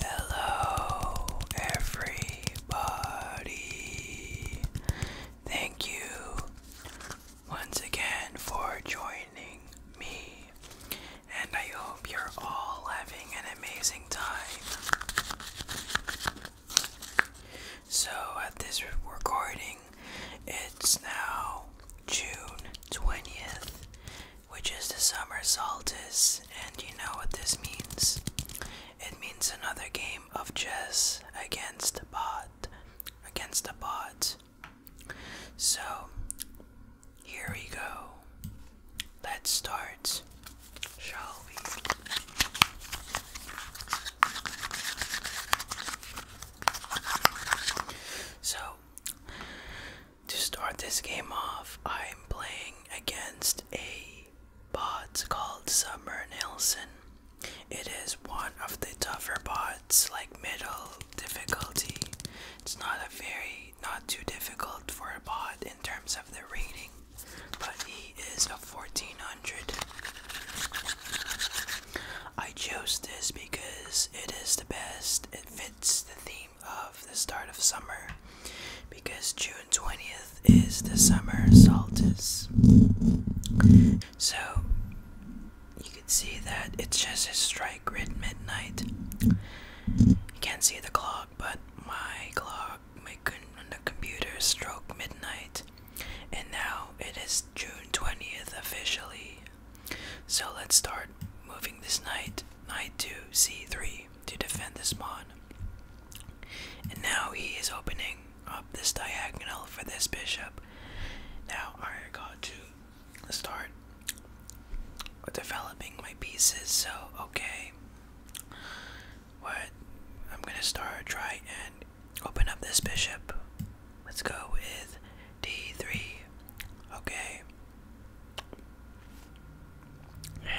Hello, everybody. Thank you once again for joining me, and I hope you're all having an amazing time. So, at this recording, it's now June 20th, which is the summer solstice, and you know what this means. It means another game of chess against the bot. Against the bot. So, here we go. Let's start, shall we? So, to start this game off, I'm playing against a bot called Summer Nelson. It is one of the tougher bots, like middle difficulty. It's not a very, not too difficult for a bot in terms of the rating, but he is a 1400. I chose this because it is the best. It fits the theme of the start of summer because June 20th is the summer solstice. So you can see that it's just a strike grid midnight. You can't see the clock, but my clock, my on the computer stroke midnight. And now it is June 20th officially so let's start moving this knight, knight to c3 to defend this pawn. And now he is opening up this diagonal for this bishop. Now I got to start developing my pieces. So okay, what I'm gonna start try and Open up this bishop. Let's go with d3. Okay.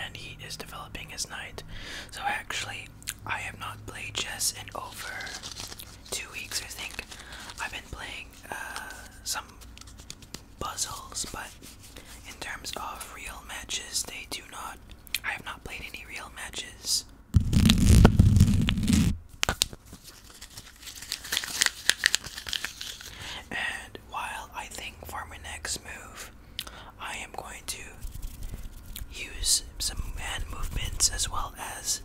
And he is developing his knight. So actually, I have not played chess in over two weeks, I think. I've been playing uh, some puzzles, but in terms of real matches, they do not. I have not played any real matches. And while I think for my next move, I am going to use some hand movements as well as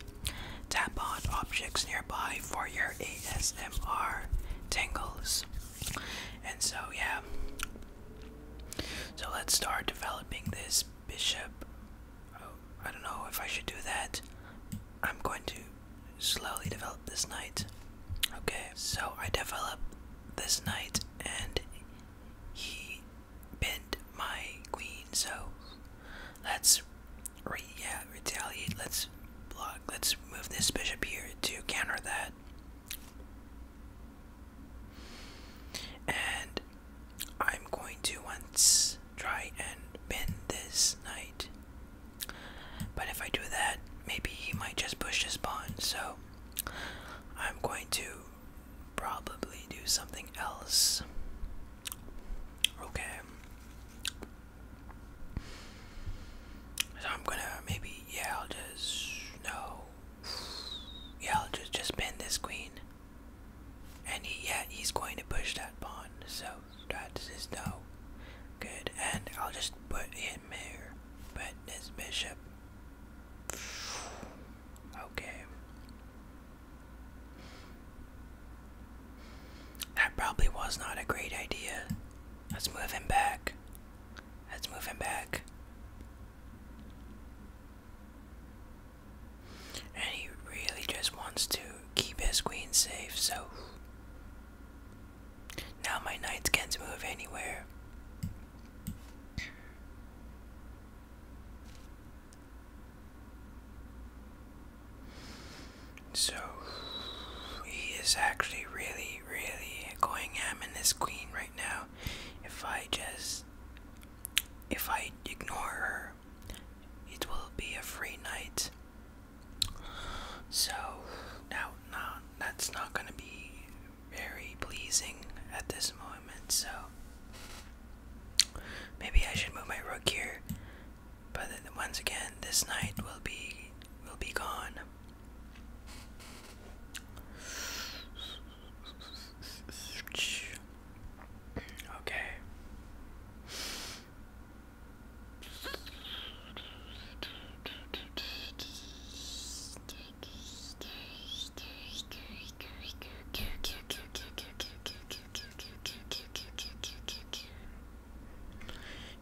tap on objects nearby for your ASMR tingles. And so, yeah. So let's start developing this bishop. Oh, I don't know if I should do that. I'm going to slowly develop this knight. Okay, so I develop this knight and he bent my queen, so let's re yeah, retaliate, let's block, let's move this bishop here to counter that. And I'm going to once try and win this knight. But if I do that, maybe he might just push his pawn, so I'm going to probably do something else. Okay. So I'm gonna maybe yeah I'll just no yeah I'll just just pin this queen and he, yeah, he's going to push that pawn, so that's his no. Good, and I'll just put him there. but this bishop. Okay. That probably was not a great idea. Let's move him back. Let's move him back. And he really just wants to keep his queen safe, so. Now my knights can't move anywhere. So he is actually really, really going ham in this queen right now. If I just. If I ignore her, it will be a free night. So now, no, that's not going to be very pleasing at this moment. So maybe I should move my rook here. But then once again, this night will be will be gone. Okay.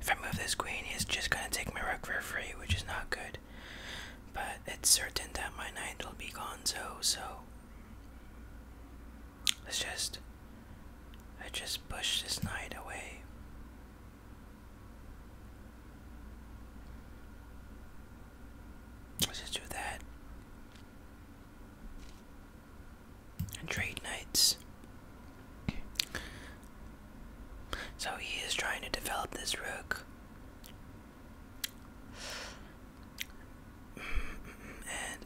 If I move this queen, he's just gonna take my rook for free, which is not good. But it's certain that my knight will be gone, so so Let's just. I just push this knight away. Let's just do that. trade nights. So he is trying to develop this rook. And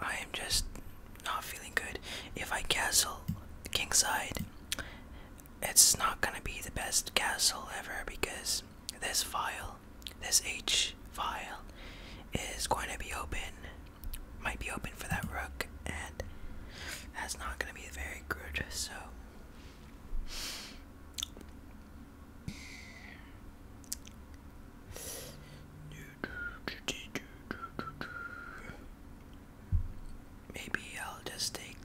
I am just not feeling good. If I castle king side, it's not gonna be the best castle ever because this file, this H file, is going to be open. Might be open for that rook, and that's not gonna be very good. So Maybe I'll just take.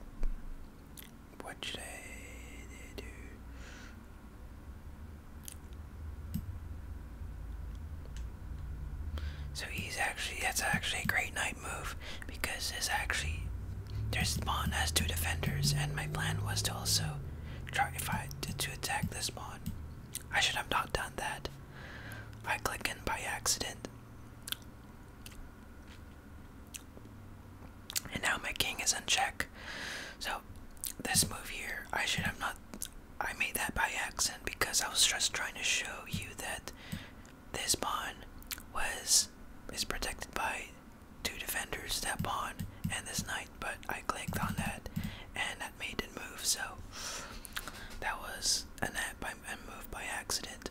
What should I do? So he's actually. That's actually a great night move because this actually. Their spawn has two defenders, and my plan was to also Try if I to attack this mon. I should have not done that. I click in by accident. And now my king is in check. So this move here, I should have not I made that by accident because I was just trying to show you that this pawn was is protected by two defenders step on and this knight, but I clicked on that and that made it move, so that was an net by move by accident.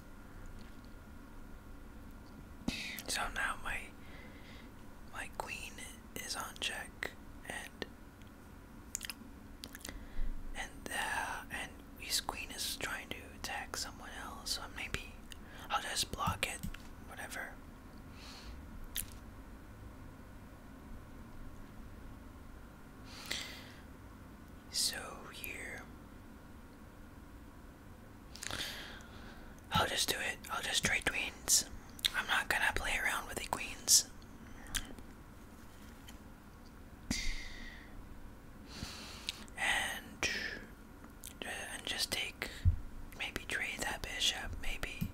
So now my my queen is on check and and uh, and his queen is trying to attack someone else, so maybe I'll just block it, whatever. So here. I'll just do it. I'll just trade queens. I'm not gonna play around with the queens. And and just take maybe trade that bishop maybe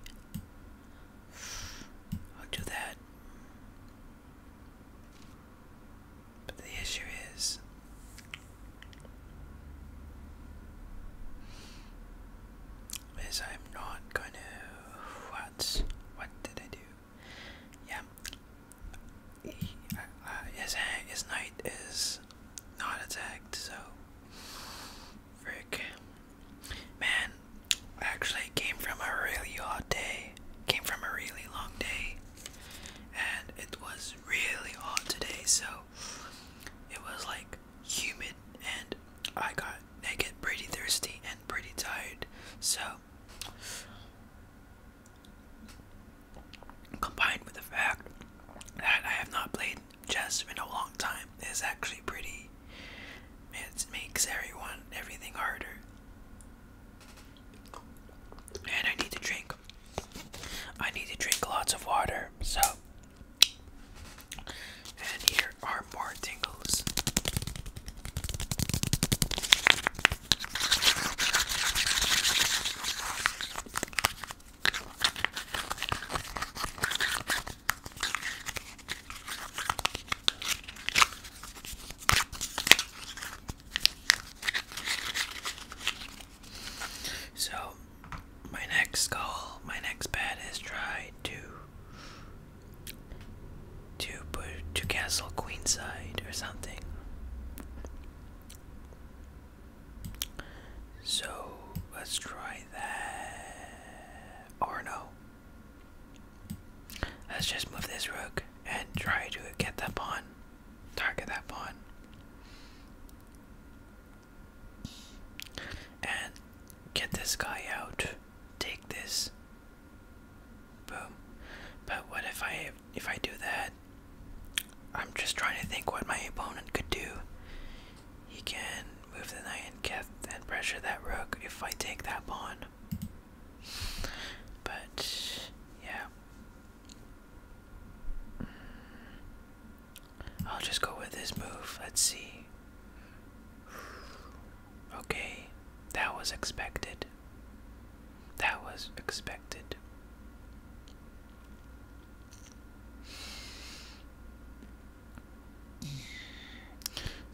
I'll do that but the issue is is I'm not gonna what what did I do yeah uh, uh, his, his knight is not attacked, so frick. Man, actually came from a really hot day. Came from a really long day. And it was really hot today, so it was like humid and I got I get pretty thirsty and pretty tired. So combined with the fact that I have not played just been a long time is actually pretty. It makes everyone everything harder. And I need to drink. I need to drink lots of water. So, and here are more tingles. So, my next goal, my next bet is try to to put to castle queenside or something. So let's try that. Or Let's just move this rook and try to get that pawn. Target that pawn. And get this guy out. Take this. Boom. But what if I if I do that? I'm just trying to think what my opponent could do. He can move the knight and get pressure that rook if I take that pawn. But yeah. I'll just go with this move. Let's see. Okay, that was expected. That was expected.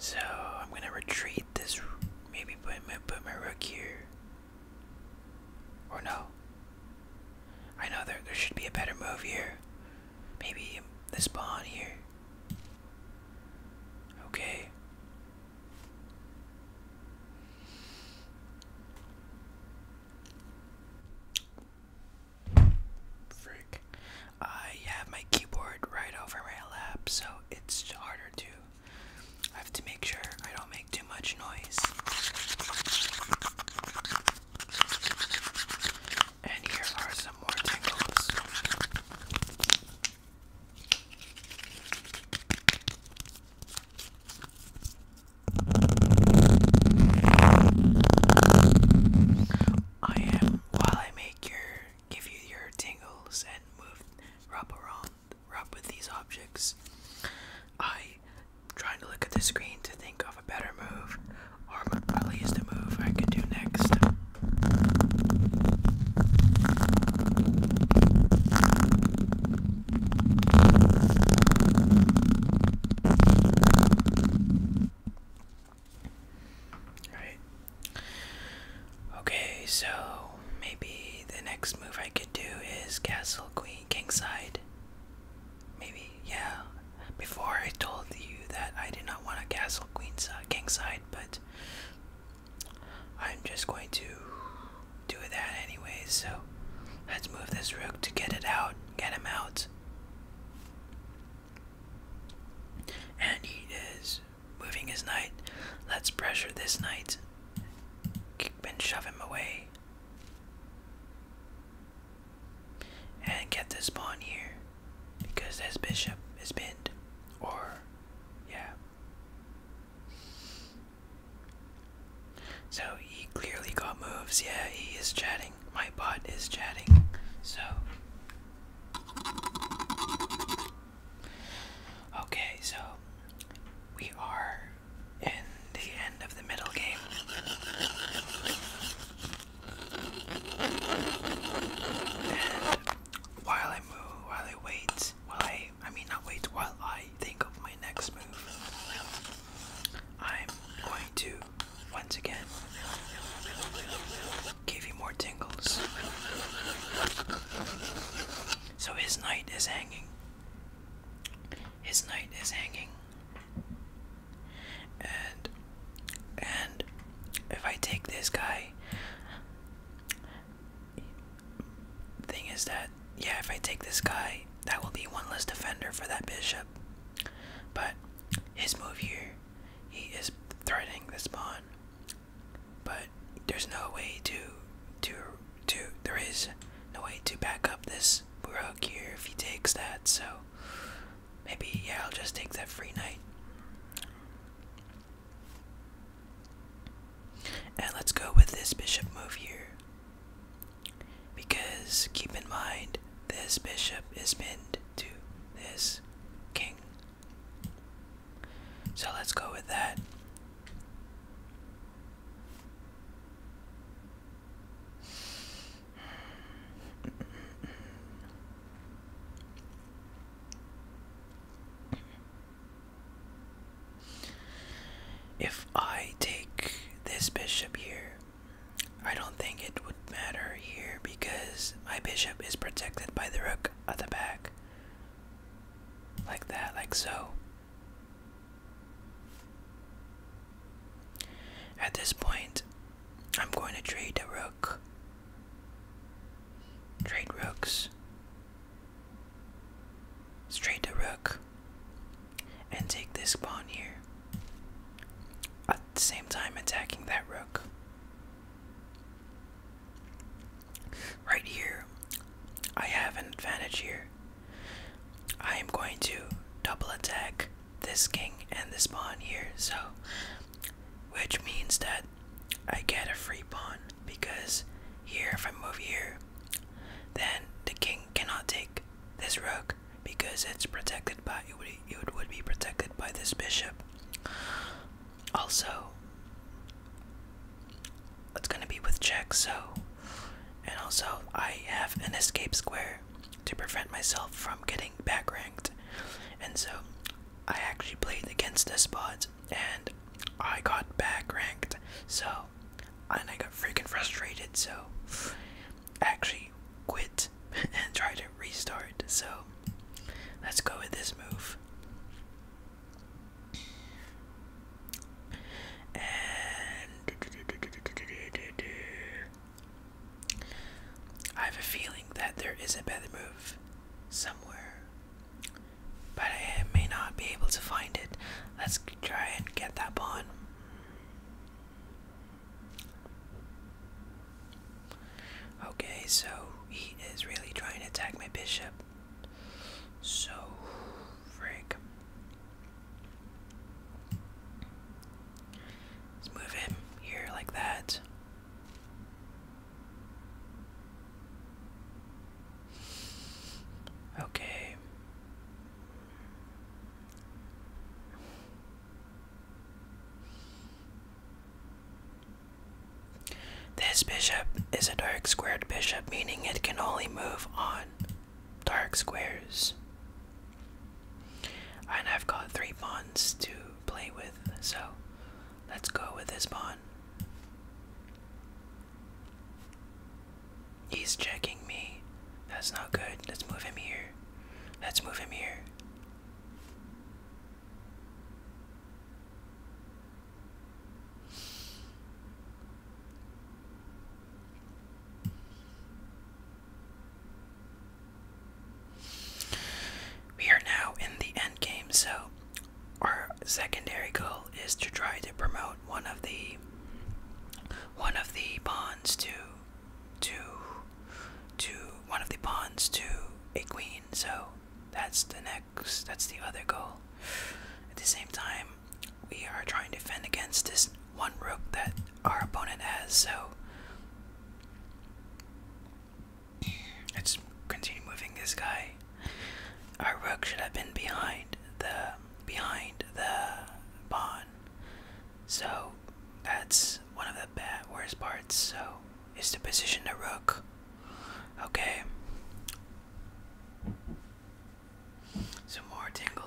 So I'm gonna retreat this. Maybe put my put my rook here. Or no. I know there should be a better move here. Maybe this pawn here. Okay. Frick. I have my keyboard right over my lap, so it's harder to. I have to make sure I don't make too much noise. And here are some more tingles. I am while I make your give you your tingles and move rub around rub with these objects. I trying to look at the screen to think of a better move or at least a move I can do next. Right. Okay, so maybe the next move I could do is castle queen kingside. Maybe, yeah. Before I told you that I did not want to castle queen side, kingside, but I'm just going to do that anyways, so let's move this rook to get it out, get him out. And he is moving his knight. Let's pressure this knight. and shove him away. And get this pawn here. Because this bishop is pinned. Or, yeah. So he clearly got moves. Yeah, he is chatting. My bot is chatting. So. Okay, so we are in the end of the middle game. And while I move, while I wait, while I I mean, not wait while I think of my next move. I'm going to once again give you more tingles. So his knight is hanging. His knight is hanging. And and if I take this guy thing is that, yeah, if I take this guy, that will be one less defender for that bishop. But his move here, he is threatening the pawn. But there's no way to, to, to, there is no way to back up this rook here if he takes that. So maybe, yeah, I'll just take that free knight. And let's go with this bishop move here. Because keep in mind, this bishop is pinned to this king. So let's go with that. If I take this bishop here, I don't think it would matter here because my bishop is protected by the rook at the back. Like that, like so. At this point, I'm going to trade a rook. Trade rooks straight to rook and take this pawn here at the same time attacking that rook right here i have an advantage here i am going to double attack this king and this pawn here so which means that i get a free pawn because here if i move here then the king cannot take this rook because it's protected by it would, it would be protected by this bishop. Also, it's gonna be with check. So, and also I have an escape square to prevent myself from getting back and so I actually played against the spots and I got back So and I got freaking frustrated, so I actually quit and tried to restart. So let's go with this move. And I have a feeling that there is a better move somewhere. But I may not be able to find it. Let's try and get that pawn. Okay, so he is really trying to attack my bishop. So, frick. Let's move him here like that. Okay. This bishop is a dark squared bishop, meaning it can only move on dark squares. And I've got three pawns to play with, so let's go with this pawn. He's checking me. That's not good. Let's move him here. Let's move him here. We are now in the end game, so our secondary goal is to try to promote one of the one of the pawns to to to one of the pawns to a queen so that's the next that's the other goal at the same time we are trying to fend against this one rook that our opponent has so let's continue moving this guy our rook should have been behind the behind the pawn. So that's one of the bad worst parts. So is to position the rook. Okay. Some more tingles.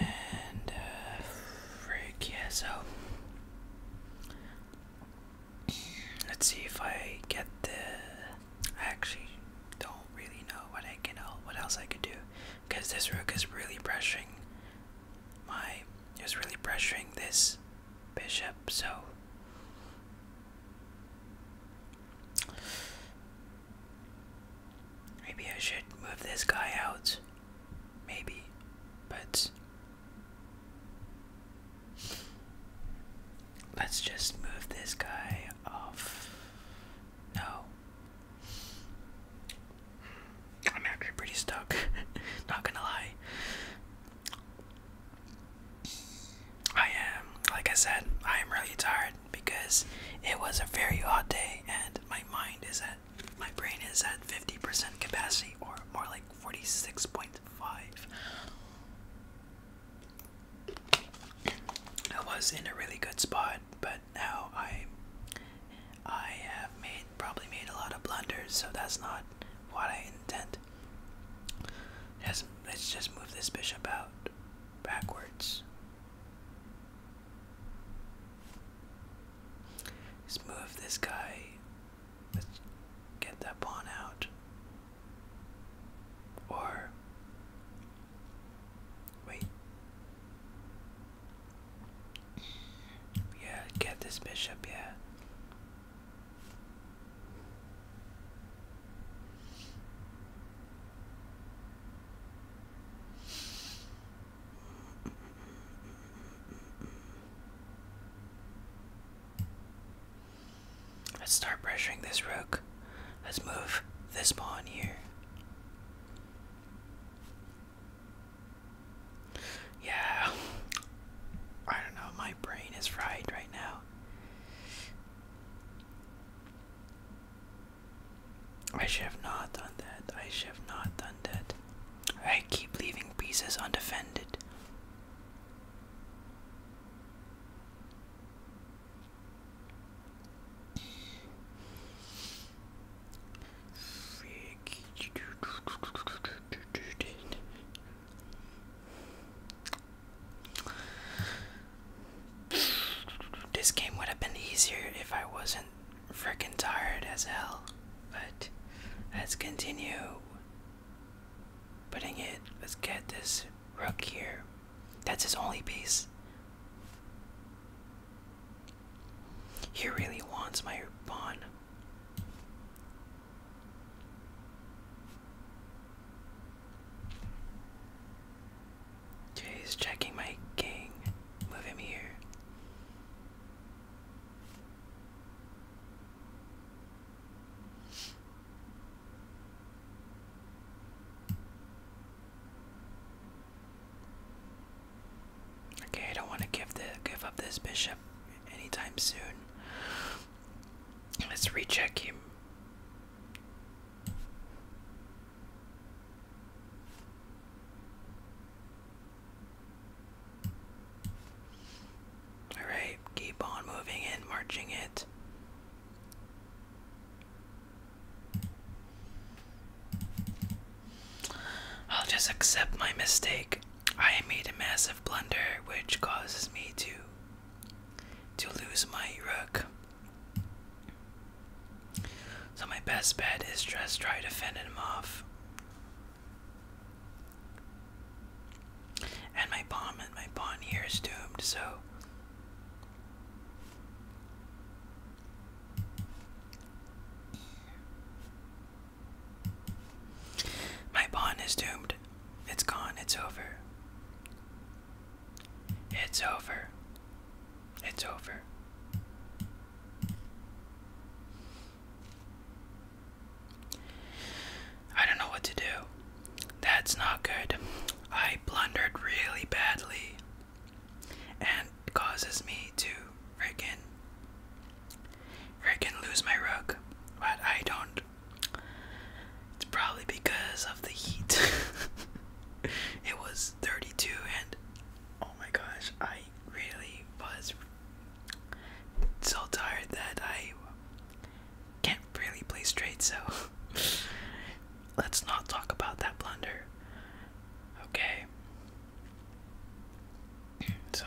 And uh, yeah, so let's see if I get the. I actually don't really know what I can, what else I could do, because this rook is really pressuring my, is really pressuring this bishop. So Maybe I should move this guy out. Maybe. But. Let's just move this guy off. No. I'm actually pretty stuck. Not gonna lie. I am, like I said, I am really tired because it was a very hot day and my mind is at, my brain is at 50% capacity or more like 46.5. I was in a really good spot, but now I, I have made, probably made a lot of blunders, so that's not what I intend Yes, let's just move this bishop out backwards. Let's move this guy. Let's get that pawn out. Or wait. Yeah, get this bishop, yeah. Let's start pressuring this rook. Let's move this pawn here. Yeah. I don't know, my brain is fried right now. I should have not done that. I should have not done that. I keep leaving pieces undefended. This game would have been easier if I wasn't freaking tired as hell. But let's continue putting it. Let's get this rook here. That's his only piece. He really wants my pawn. Okay, he's checking my king. Move him here. Okay, I don't want to give the give up this bishop anytime soon. Let's recheck him. Alright, keep on moving and marching it. I'll just accept my mistake. I made a massive blunder which causes me to to lose my rook. So my best bet is just try to fend him off. And my pawn and my pawn here is doomed, so my bond is doomed. It's gone. It's over. It's over. It's over. I don't know what to do. That's not good. I blundered really badly and causes me to Freaking. Freaking lose my rook. But I don't. It's probably because of the heat. it was 32 and. Oh my gosh, I really was so tired that I can't really play straight, so let's not talk about that blunder. Okay. So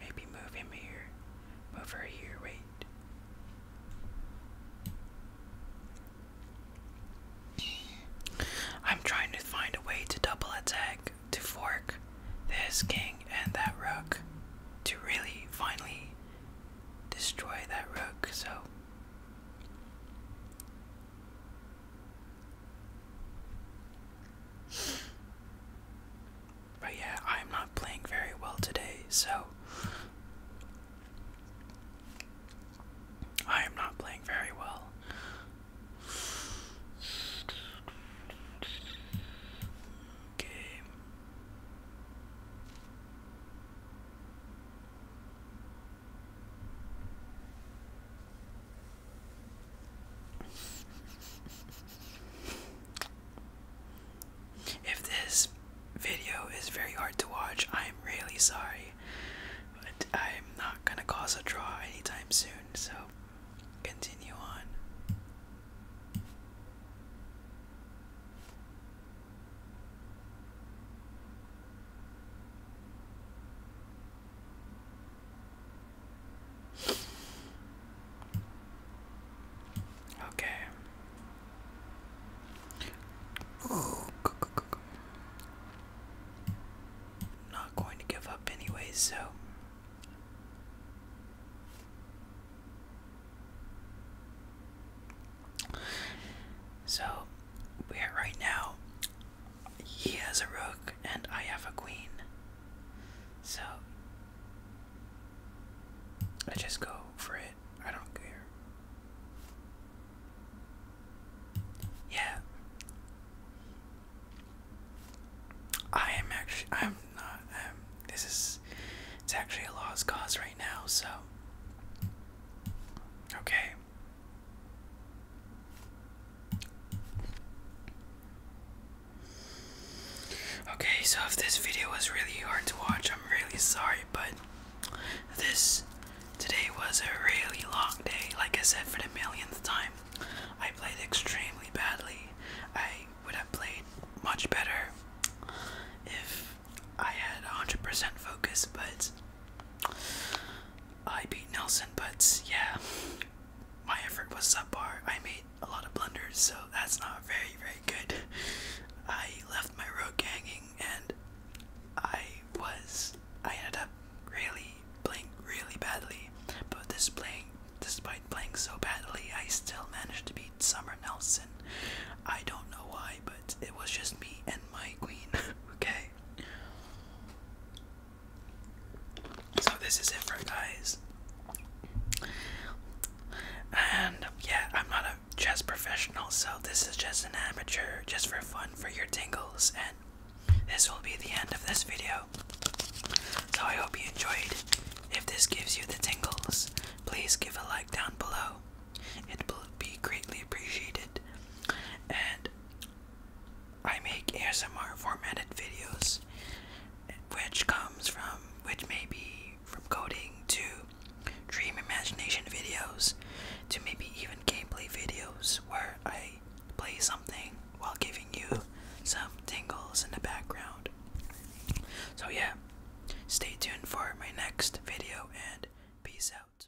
Maybe move him here. Move her here, wait. I'm trying to find a way to double attack, to fork this king and that rook, to really finally destroy that rook, so. But yeah, I'm not playing very well today, so. I am not playing very well. Okay. If this video is very hard to watch, I'm really sorry. But I'm not gonna cause a draw anytime soon, so continue on. Okay. Not going to give up anyway, so. So, we are right now. He has a rook, and I have a queen. So, I just go for it. I don't care. Yeah. I am actually, I'm not, um, this is, it's actually a lost cause right now, so. Okay. Okay, so if this video was really hard to watch, I'm really sorry, but this today was a really long day. Like I said, for the millionth time, I played extremely badly. I would have played much better if I had 100% focus, but I beat Nelson. But yeah, my effort was subpar. I made a lot of blunders, so that's not very, very good. I left my road hanging, and I was I ended up really playing really badly. But this playing despite playing so badly I still managed to beat Summer Nelson. I don't know why, but it was just me and my queen, okay? So this is it for guys. And yeah, I'm not a chess professional, so this is just an amateur, just for fun, for your tingles, and this will be the end of this video. So I hope you enjoyed. If this gives you the tingles, please give a like down below. It will be greatly appreciated. And I make ASMR formatted videos, which comes from, which may be from coding to dream imagination videos to maybe even gameplay videos where I play something while giving you some tingles in the background. So, yeah, stay tuned for my next video and peace out.